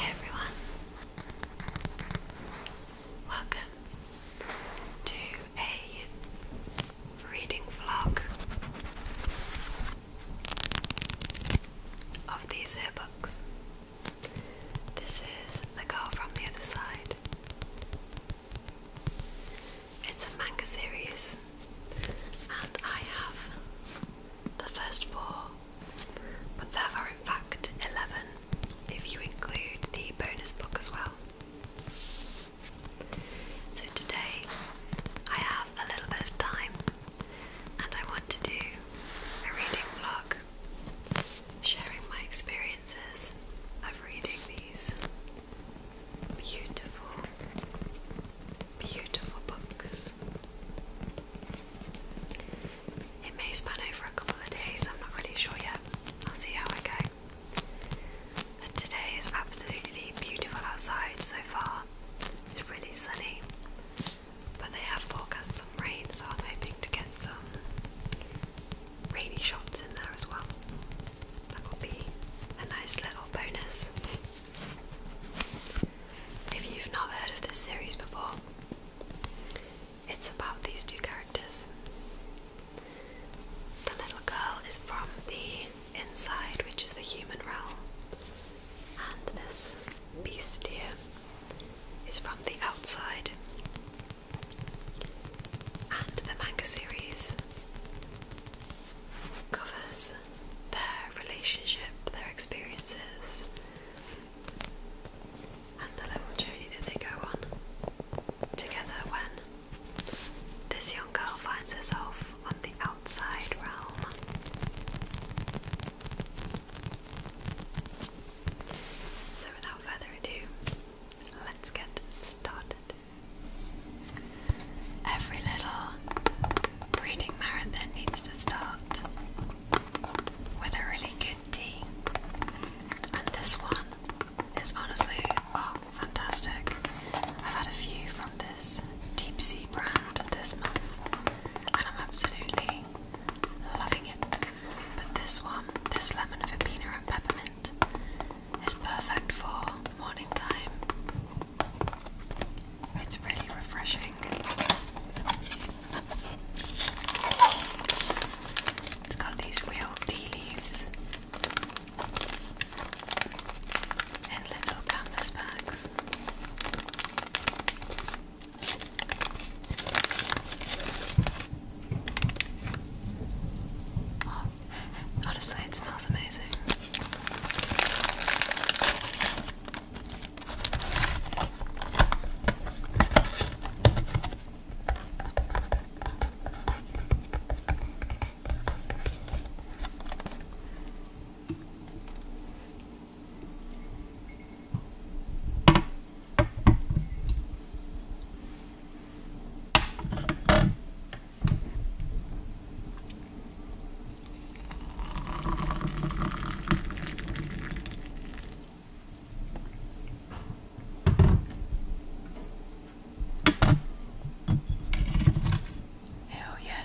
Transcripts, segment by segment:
everyone, welcome to a reading vlog of these air books. This is The Girl from the Other Side it's a manga series, and I have the first four, but there are in fact 11 if you include the bonus book as well. So today I have a little bit of time and I want to do a reading blog, sharing my experiences of reading these beautiful, beautiful books. It may span over a couple of days, I'm not really sure yet. I'll see how I go. But today is absolutely beautiful outside so far. It's really sunny, but they have forecast some rain, so I'm hoping to get some rainy shots in there as well. That will be a nice little bonus. If you've not heard of this series before, it's about these two characters. The little girl is from the inside, which is the human realm, and this beast here is from the outside. And the manga series covers their relationship, their experiences, and the little journey that they go on together when this young girl finds herself on the outside realm. So, without further ado, let's get started. Every little breeding marathon needs to start with a really good tea, and this one is honestly oh, fantastic. I've had a few from this deep sea brand this month, and I'm absolutely loving it. But this one, this lemon verbena and peppermint. It's perfect for morning time. It's really refreshing. It's got these real tea leaves in little canvas bags. Oh, Honestly, it smells amazing. Hell yeah.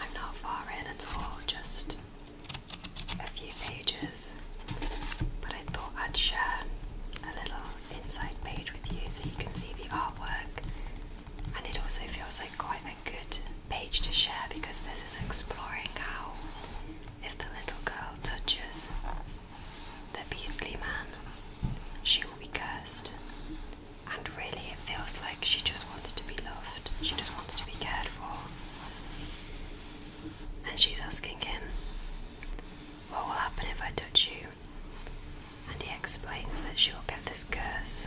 I'm not far in at all, just a few pages, but I thought I'd share a little inside page with you so you can see the artwork, and it also feels like quite good page to share because this is exploring how, if the little girl touches the beastly man, she will be cursed. And really, it feels like she just wants to be loved, she just wants to be cared for. And she's asking him, What will happen if I touch you? And he explains that she'll get this curse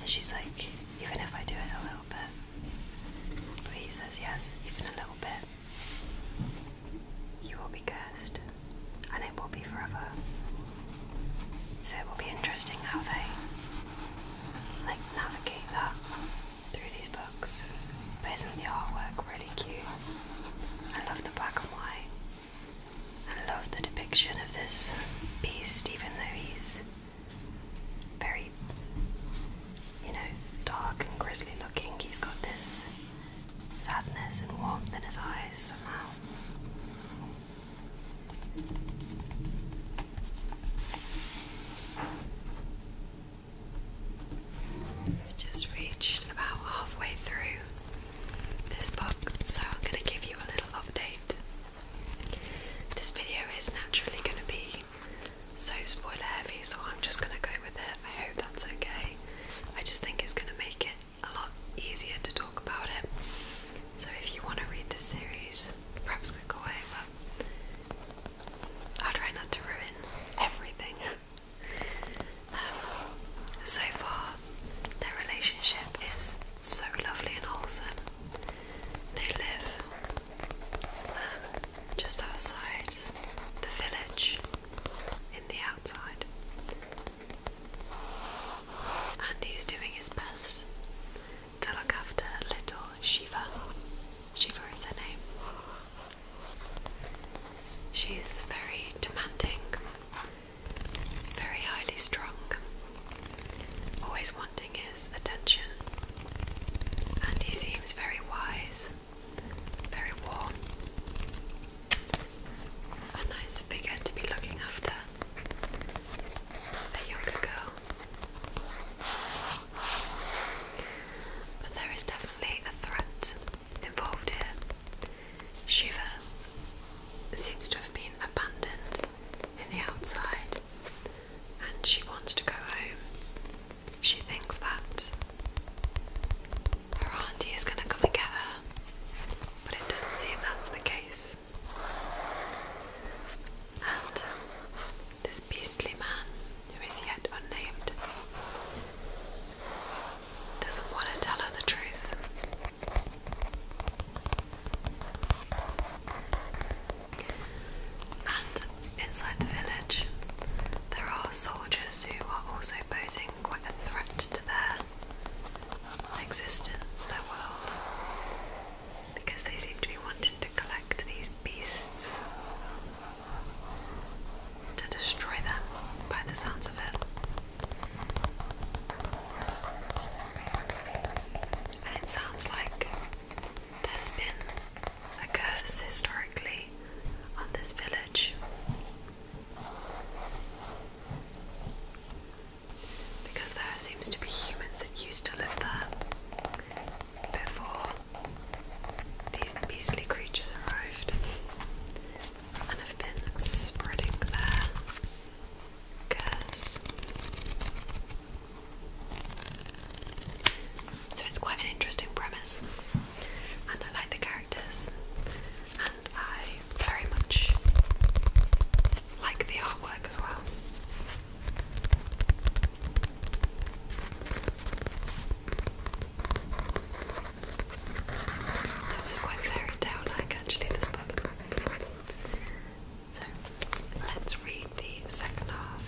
and she's like, even if I do it a little bit. But he says, yes, even a little bit. You will be cursed, and it will be forever. So it will be interesting how they like navigate that through these books. But isn't the artwork really cute? I love the black and white. I love the depiction of this beast, even though he's very, you know, dark and grisly looking. He's got this sadness and warmth in his eyes somehow. just reached about halfway through this book, so I'm going to give you a little update. This video is naturally going to be so spoiler heavy, so I'm just going to go with it. I hope that's okay. I just think it's going to make it a lot easier to talk about it. So if you want to read the series, perhaps click away, but I'll try not to ruin everything. Um, so far, their relationship is so lovely and wholesome. They live uh, just outside the village in the outside. And he's doing his best to look after little Shiva. Shiva is her name. She's very demanding very highly strung, always wanting his attention, and he seems very wise, very warm. A nice figure to be looking after. A younger girl. But there is definitely a threat involved here. Shiva seems to have been abandoned in the outside and she wants to go home. She thinks that her auntie is going to come and get her, but it doesn't seem that's the case. And this beastly man, who is yet unnamed, doesn't want to tell her the truth. And inside the village, there are soldiers who are also posing quite a threat to their existence, their world, because they seem to be wanting to collect these beasts to destroy them by the sounds of it. And it sounds like there's been a curse historically on this village. Because there seems to be humans that used to live there before these beastly creatures arrived and have been spreading there. So it's quite an interesting premise, and I like the characters, and I very much like the artwork as well. It's almost quite fairy tale like, actually, this book. So let's read the second half.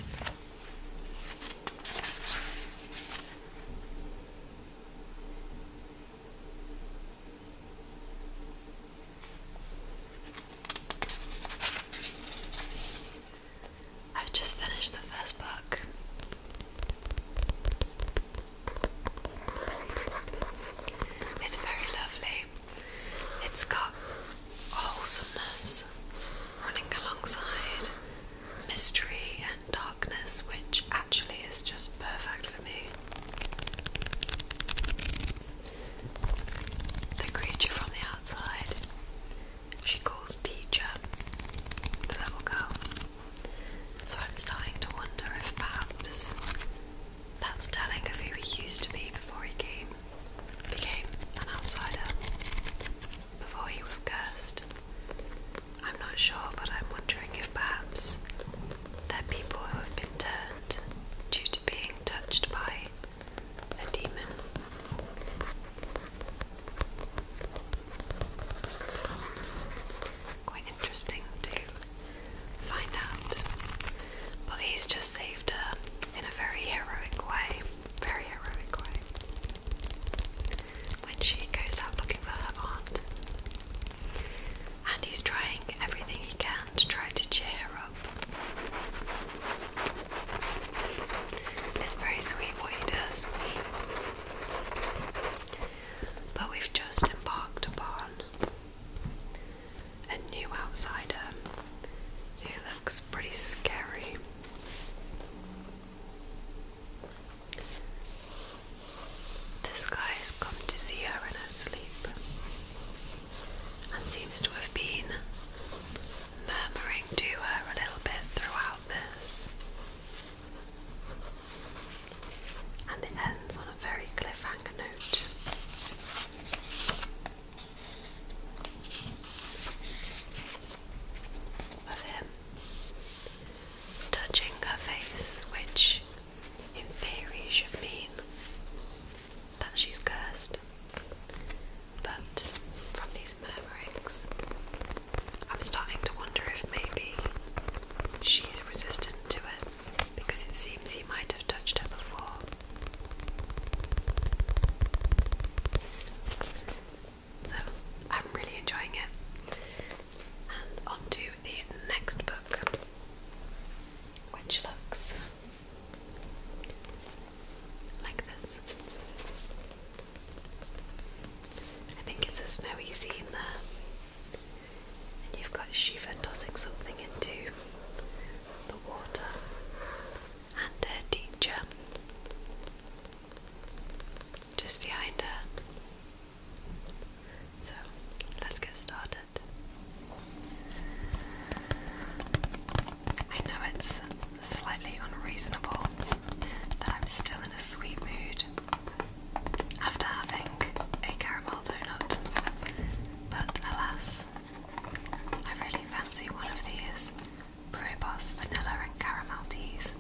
I've just finished the first book. It's very lovely. It's got wholesomeness running alongside mystery and darkness, which actually is just perfect for me. The creature from the outside, she calls teacher, the little girl. So I'm starting to wonder if perhaps that's telling of who he used to be before he came, became an outsider, before he was cursed. I'm not sure, but I'm wondering if perhaps they're people who have been turned due to being touched by a demon quite interesting to find out. But he's just saved her in a very heroic way. Very heroic way. When she goes out looking for her aunt. And he's trying everything he can to try to cheer her up. It's very sweet what he does. But we've just embarked upon a new outsider who looks pretty scary. This guy has come to see her in her sleep and seems to have been murmuring to her a little bit throughout this and it ends on a very cliffhanger note. Of him touching her face, which in theory should mean that she's cursed, but from these murmurings, I'm starting to wonder if maybe she's resistant to it because it seems he might have touched her before. So I'm really enjoying it. And on the next book, which looks like this. I think it's a snowy scene there and you've got Shiva tossing something into the water, and her teacher just behind her. So let's get started. I know it's slightly unreasonable that I'm still in a sweet mood after having a caramel donut, but alas, I really fancy one of these Brewboss vanilla and caramel teas.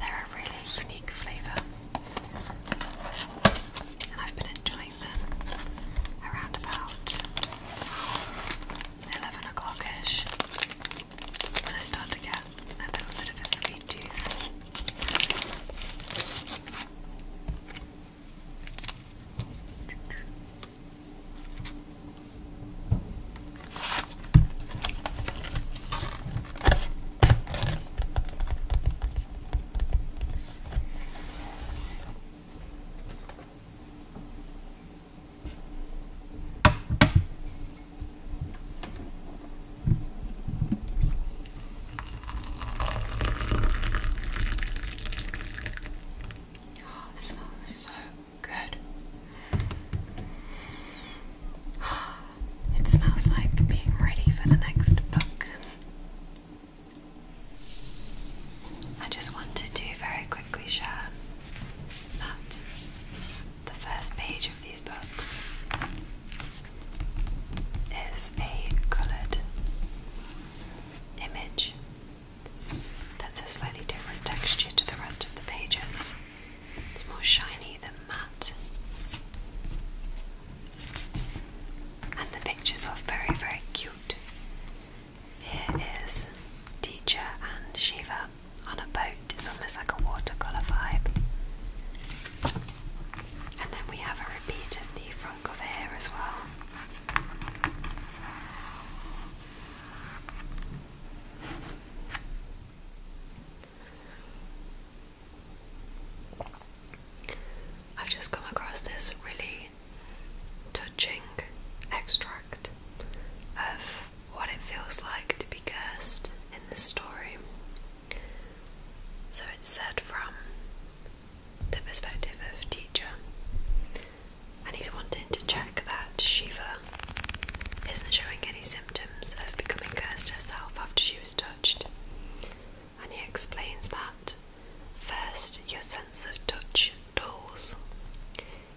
They're a really unique flavour, and I've been enjoying them around about 11 o'clockish when I start to get a little bit of a sweet tooth. Oh, smells so good. It smells like being ready for the next book. I just wanted to very quickly share that the first page of these books is a coloured image that's a slightly different texture to the rest of the pages. It's more shiny than matte. And the pictures are very, very cute. Here is Teacher and Shiva on a boat. It's almost like a watercolour vibe. And then we have a repeat of the front cover here as well. I've just come across this really touching extract of what it feels like to be cursed in this story. So it's said from the perspective of teacher, and he's wanting to check that Shiva isn't showing any symptoms of becoming cursed herself after she was touched. And he explains that first, your sense of touch dulls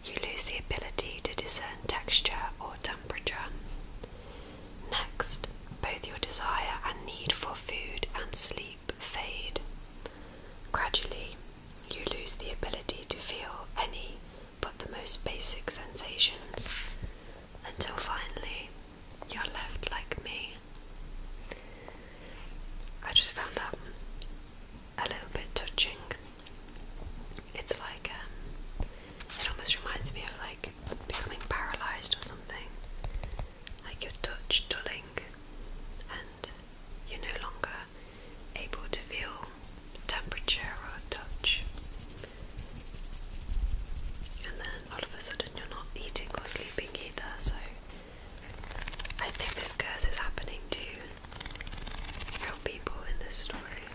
you lose the ability to discern texture or temperature. Next, both your desire and need for food and sleep fade. Gradually, you lose the ability to feel any but the most basic sensations until finally you're left like me. I just found that a little bit touching. It's like um, it almost reminds me of like becoming paralyzed or something. Like your touch dulling, and you're no longer able to feel temperature or touch. And then all of a sudden, you're not eating or sleeping either. So I think this curse is happening to you real people in this story.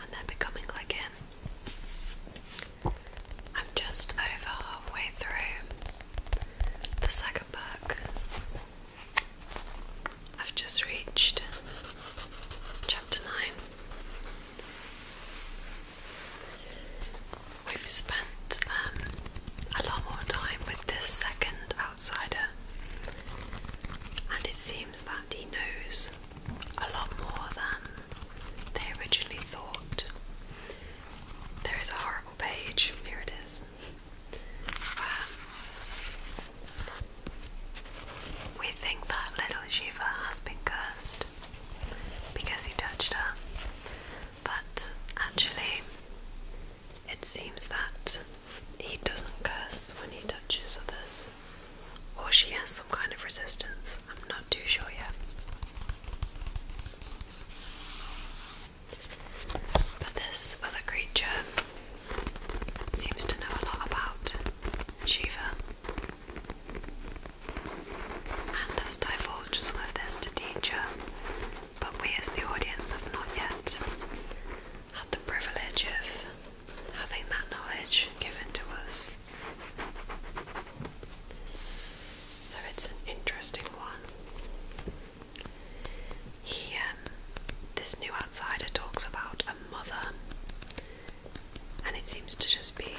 And they becoming like him. I'm just over halfway through the second book. I've just reached chapter 9. We've spent um, a lot more time with this second outsider, and it seems that he knows a lot more than they originally thought. There is a horrible page, here it is, um, we think that little Shiva has been cursed because he touched her, but actually, it seems that he doesn't curse when he touches others, or she has some kind of resistance. I'm not too sure yet. But this other creature seems to know a lot about Shiva and has divulged some of this to teacher, but we as the audience have not yet had the privilege of having that knowledge given to us. So it's an interesting one. He, um, this new outsider talks about a mother, and it seems to just be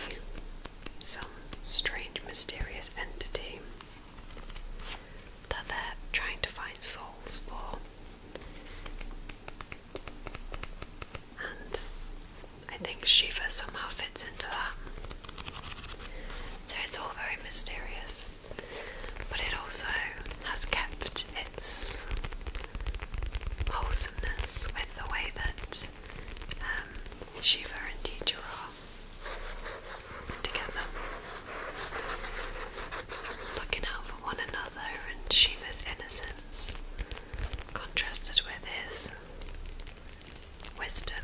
some strange, mysterious entity that they're trying to find souls for. And I think Shiva somehow fits into that. So it's all very mysterious, but it also has kept its wholesomeness with the way that um, Shiva and teacher are together, looking out for one another and Shiva's innocence contrasted with his wisdom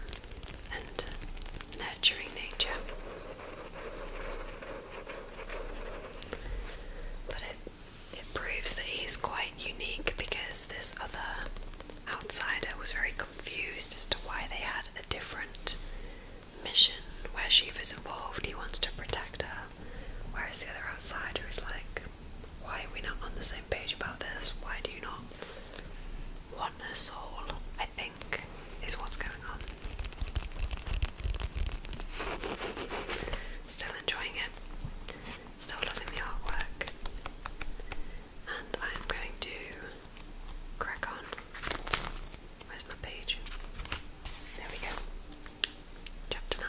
and nurturing nature. But it, it proves that he's quite unique because this other outsider was very confused as to why they had a different mission where Shiva's involved, he wants to protect her. Where's the other outsider is like, why are we not on the same page about this? Why do you not want us all? I think is what's going on. Still enjoying it. Still loving the artwork. And I am going to crack on. Where's my page? There we go. Chapter 9.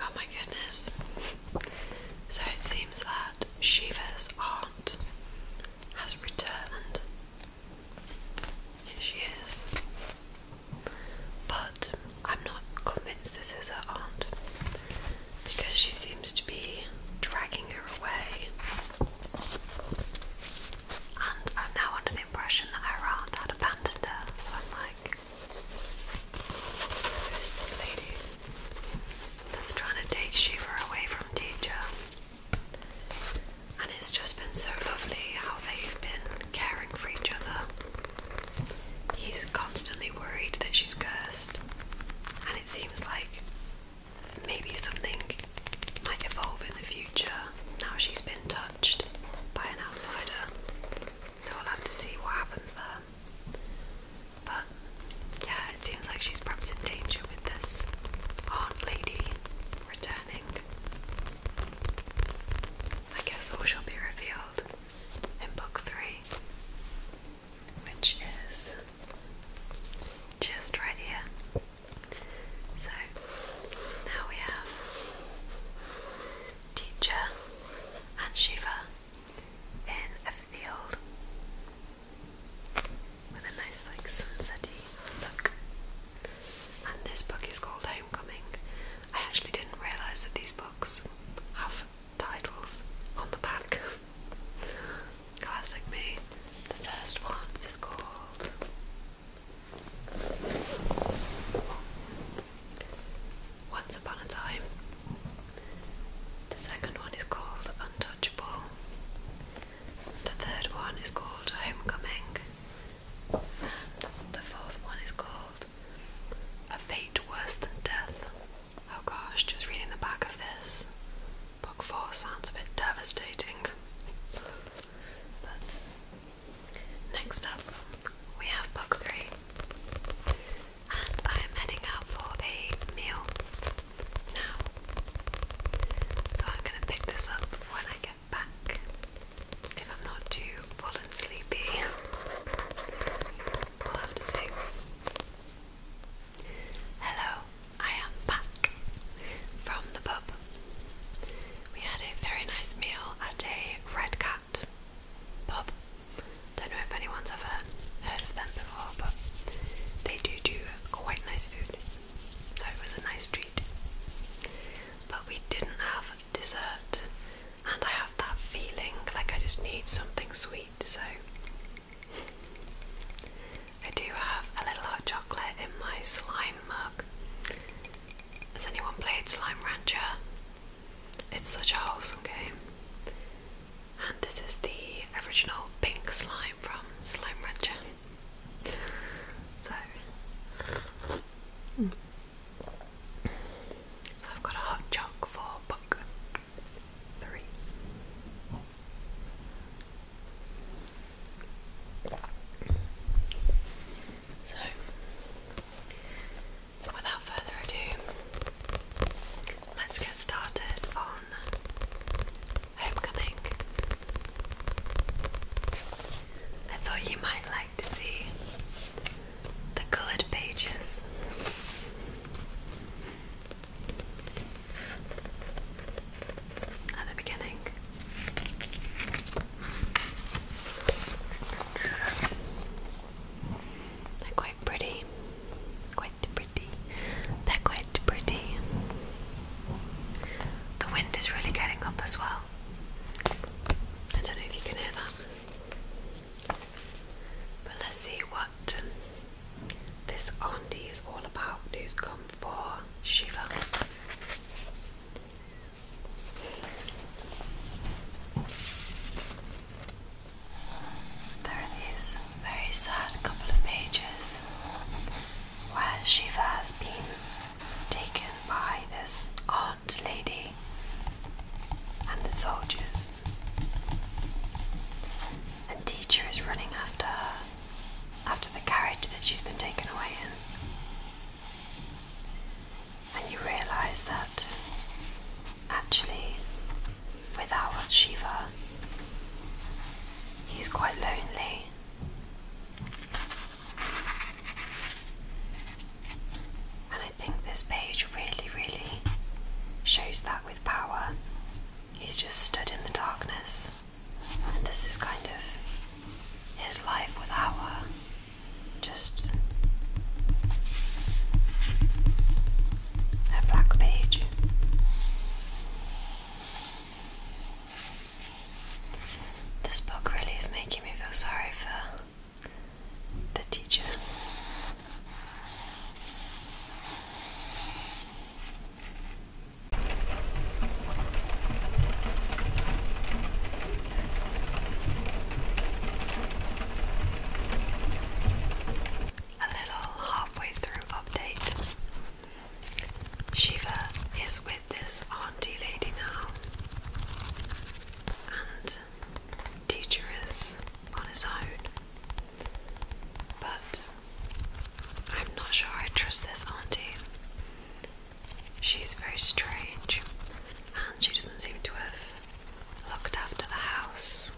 Oh my goodness. So it seems that Shiva's aunt has returned. Here she is. But I'm not convinced this is her aunt because she seems to be dragging her away. And I'm now under the impression that her aunt had abandoned her, so I'm like, who is this lady that's trying to take Shiva away from teacher? And it's just been so lovely how they've been caring for each other. He's constantly worried that she's cursed, and it seems like maybe something might evolve in the future now she's been touched by an outsider. So we will have to see what happens there. But yeah, it seems like she's perhaps in danger with this aunt lady returning. I guess all shall be revealed in book three which is just right here. So now we have Teacher and Shiva in a field with a nice like sunsetty look. And this book is called Homecoming. I actually didn't realise that these books have titles on the back. Classic me. The first one is called Once Upon a Time. The second one is called Untouchable. The third one is called Homecoming. the fourth one is called A Fate Worse Than Death. Oh gosh, just reading the back of this. Book 4 sounds a bit devastating. But next up, we have book 3. And I am heading out for a meal now. So I'm going to pick this up when I get back. If I'm not too full and sleepy, i to see. Hello, I am back from the pub. We had a very nice meal at a Red Cat pub. Don't know if anyone's ever heard of them before, but they do do quite nice food, so it was a nice treat. But we didn't have dessert, and I have that feeling like I just need something sweet, so I do have a little hot chocolate in my slime mug. Has anyone played Slime Rancher? It's such a wholesome game. And this is the original pink slime from Slime Rancher. So, hmm. so I've got a hot choc for book so, without further ado, let's get started on Homecoming. I thought you might like to see the coloured pages at the beginning. They're quite pretty, quite pretty. They're quite pretty. The wind is really getting up as well. I don't know if you can hear that. But let's see what this Ondi is all about who's come for Shiva. There are these very sad couple of pages where Shiva has been taken by this aunt lady and the soldiers is. teacher is running after her, after the carriage that she's been taken away in. And you realise that actually, without Shiva, he's quite lonely. And I think this page really, really shows that with power. He's just stood in the darkness, and this is kind of his life with our just a black page. This book really is making me feel sorry for the teacher. A little halfway through update. Shiva is with this auntie lady now, and teacher is on his own. But I'm not sure I trust this auntie. She's very strange and she doesn't seem to have looked after the house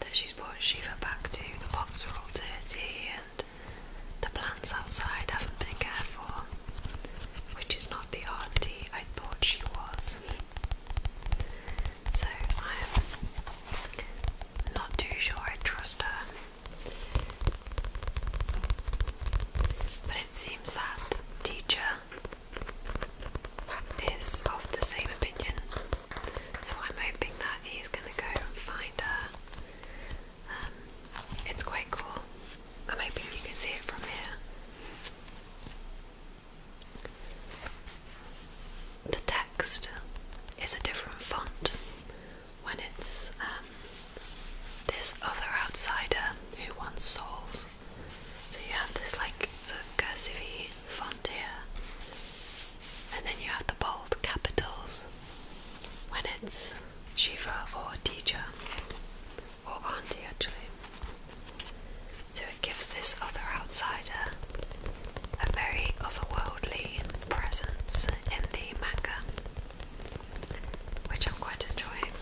that she's brought Shiva back to. The pots are all dirty and the plants outside haven't been cared for, which is not the auntie I thought she was. So I am not too sure I trust her. But it seems that teacher is of the same opinion. So I'm hoping that he's gonna go and find her. Um, it's quite cool. I'm hoping you can see it from here the text is a different font when it's um, this other outsider who wants souls. So you have this like sort of cursive font here, and then you have the bold capitals when it's Shiva or teacher or auntie actually. So it gives this other outsider a very otherworldly presence in the manga, which I'm quite enjoying.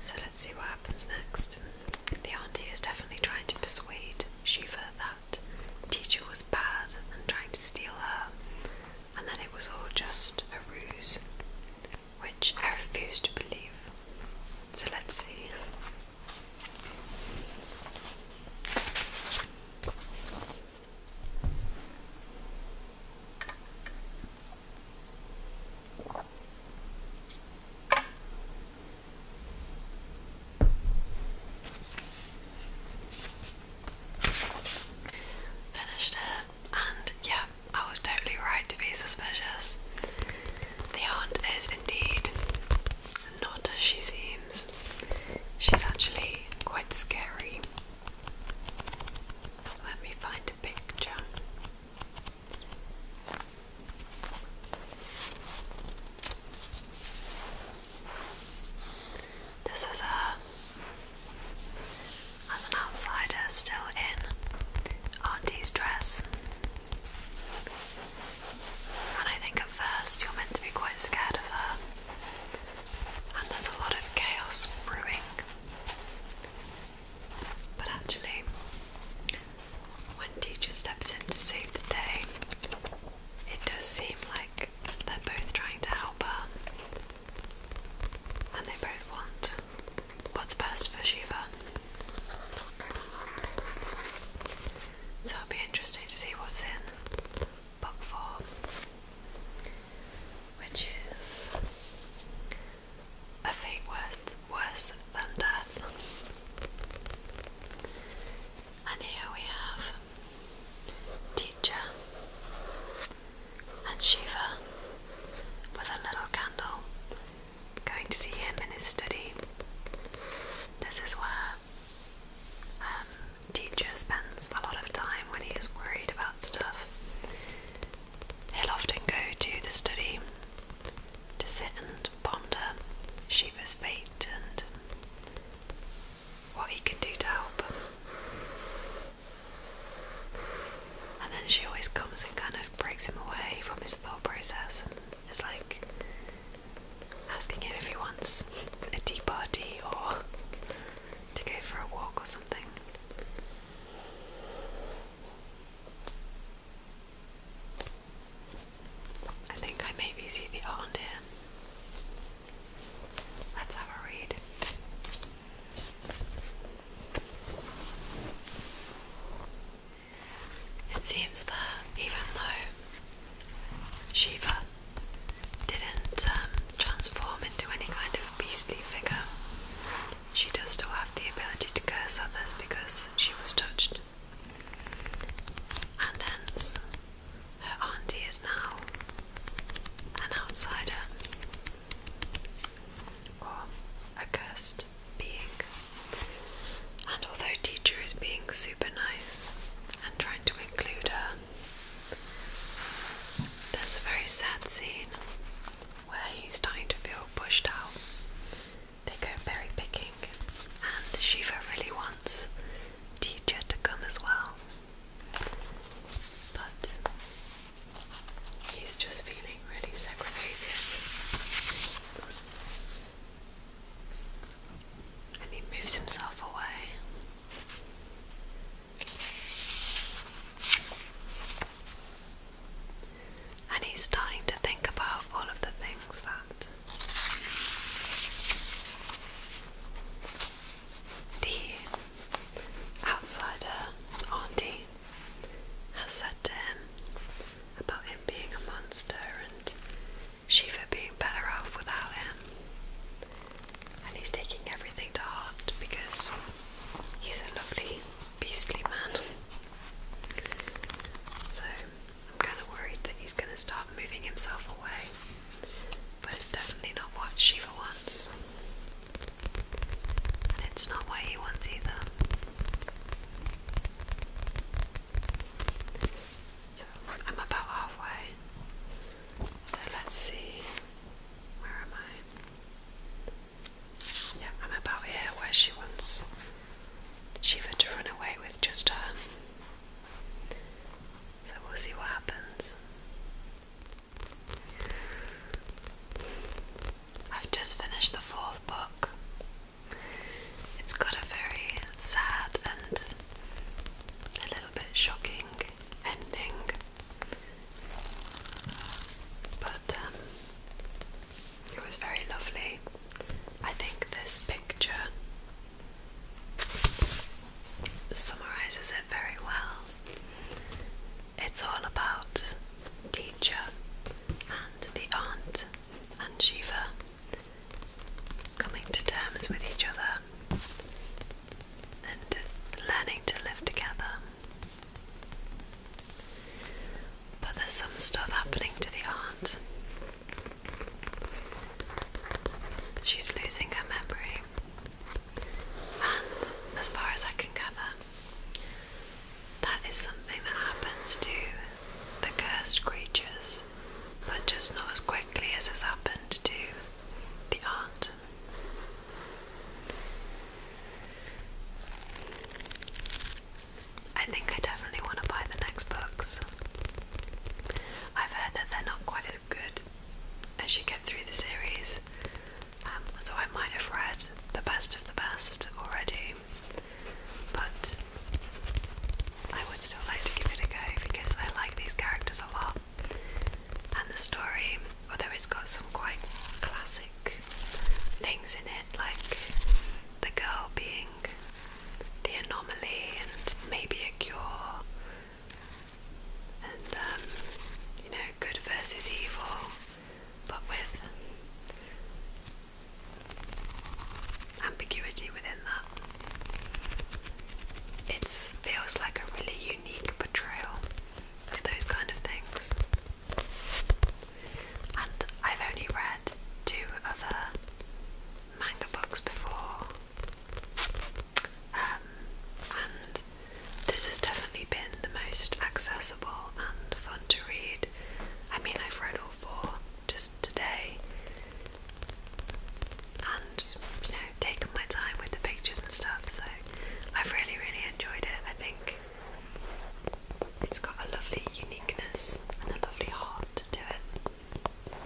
So let's see what happens next. The auntie is definitely trying to persuade Shiva that teacher was bad and trying to steal her, and then it was all just a ruse, which I refuse to believe. So let's see. Finished it, and yeah, I was totally right to be suspicious. The aunt is indeed not as she seems. She's actually quite scary. Let me find a picture. This is her as an outsider still in Auntie's dress. And I think at first you're meant to be quite scared of her, and there's a lot of chaos brewing. But actually, when teacher steps in to save the day, it does seem like they're both trying to help her, and they both want what's best for Shiva. So it'll be interesting to see what's in book four, which is a fate worth, worse than death. And here we have Teacher and Shiva with a little candle going to see him in his study. This is where um, teacher spends a lot of time when he is worried about stuff. He'll often go to the study to sit and ponder Shiva's fate and what he can do to help. And then she always comes and kind of breaks him away from his thought process and is like, asking him if he wants a tea party or to go for a walk or something. I think I maybe see the art Let's have a read. It seems that even though Shiva didn't um, transform into any kind of beastly figure, she does still have the ability to curse others because she was touched. And hence, her auntie is now an outsider or a cursed being. And although teacher is being super nice and trying to include her, there's a very sad scene where he's starting to feel pushed out. They go berry picking, and Shiva really wants teacher to come as well. But he's just feeling really segregated. And he moves himself away. And he's starting to think about all of the things that the outsider auntie has said to him about him being a monster and Shiva being better off without him. And he's taking everything to heart because he's a lovely, beastly man. So I'm kind of worried that he's going to start moving himself away. But it's definitely not what Shiva wants. And it's not what he wants either. So I'm about halfway. So let's see. Where am I? Yeah, I'm about here where she wants Shiva to run away with just her. So we'll see what happens. I've just finished the fourth book it's got a very sad and a little bit shocking ending. But um, it was very lovely. I think this picture summarizes it very well. It's all about teacher and the aunt and Shiva coming to terms with each other and learning to live together. But there's some stuff happening to the aunt. She's losing her memory, and as far as I can gather, that is something that happens to the cursed creatures, but just not as quickly as has happened to the aunt. I think I definitely want to buy the next books. I've heard that they're not quite as good as you get through the series, um, so I might have read the best of the best already but I would still like to give it a go because I like these characters a lot. And the story, although it's got some quite classic things in it, like the girl being the anomaly and maybe a cure, and um, you know, good versus evil, but with ambiguity within that. It feels like a really unique portrayal of those kind of things. And I've only read two other manga books before, um, and this has definitely been the most accessible and fun to read. I mean, I've read all four just today and you know taken my time with the pictures and stuff so I've really really enjoyed it I think it's got a lovely uniqueness and a lovely heart to it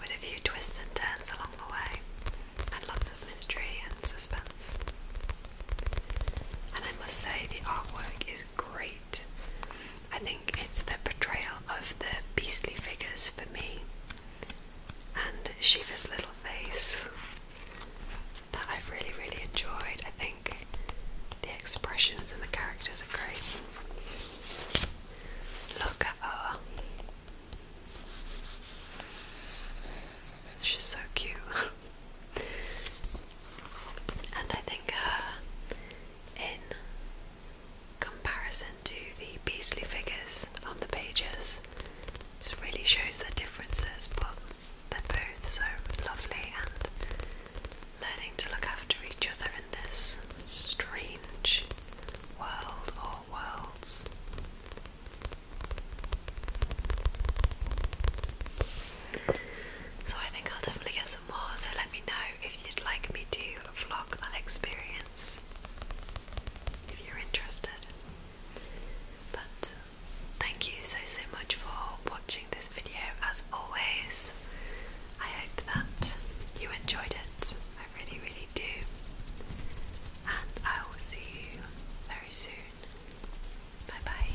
with a few twists and turns along the way and lots of mystery and suspense and I must say the artwork is great. I think it's the portrayal of the beastly figures for me and Shiva's little face that I've really, really enjoyed. I think the expressions and the characters are great. Look at her. She's so cute. and I think her in comparison to the beastly figures on the pages. Just really shows the differences, but they're both so lovely and learning to look after each other in this strange world or worlds. So I think I'll definitely get some more. So let me know if you'd like me to vlog that experience if you're interested. But thank you so so much for watching this video as always. I hope that you enjoyed it. I really really do. And I will see you very soon. Bye bye.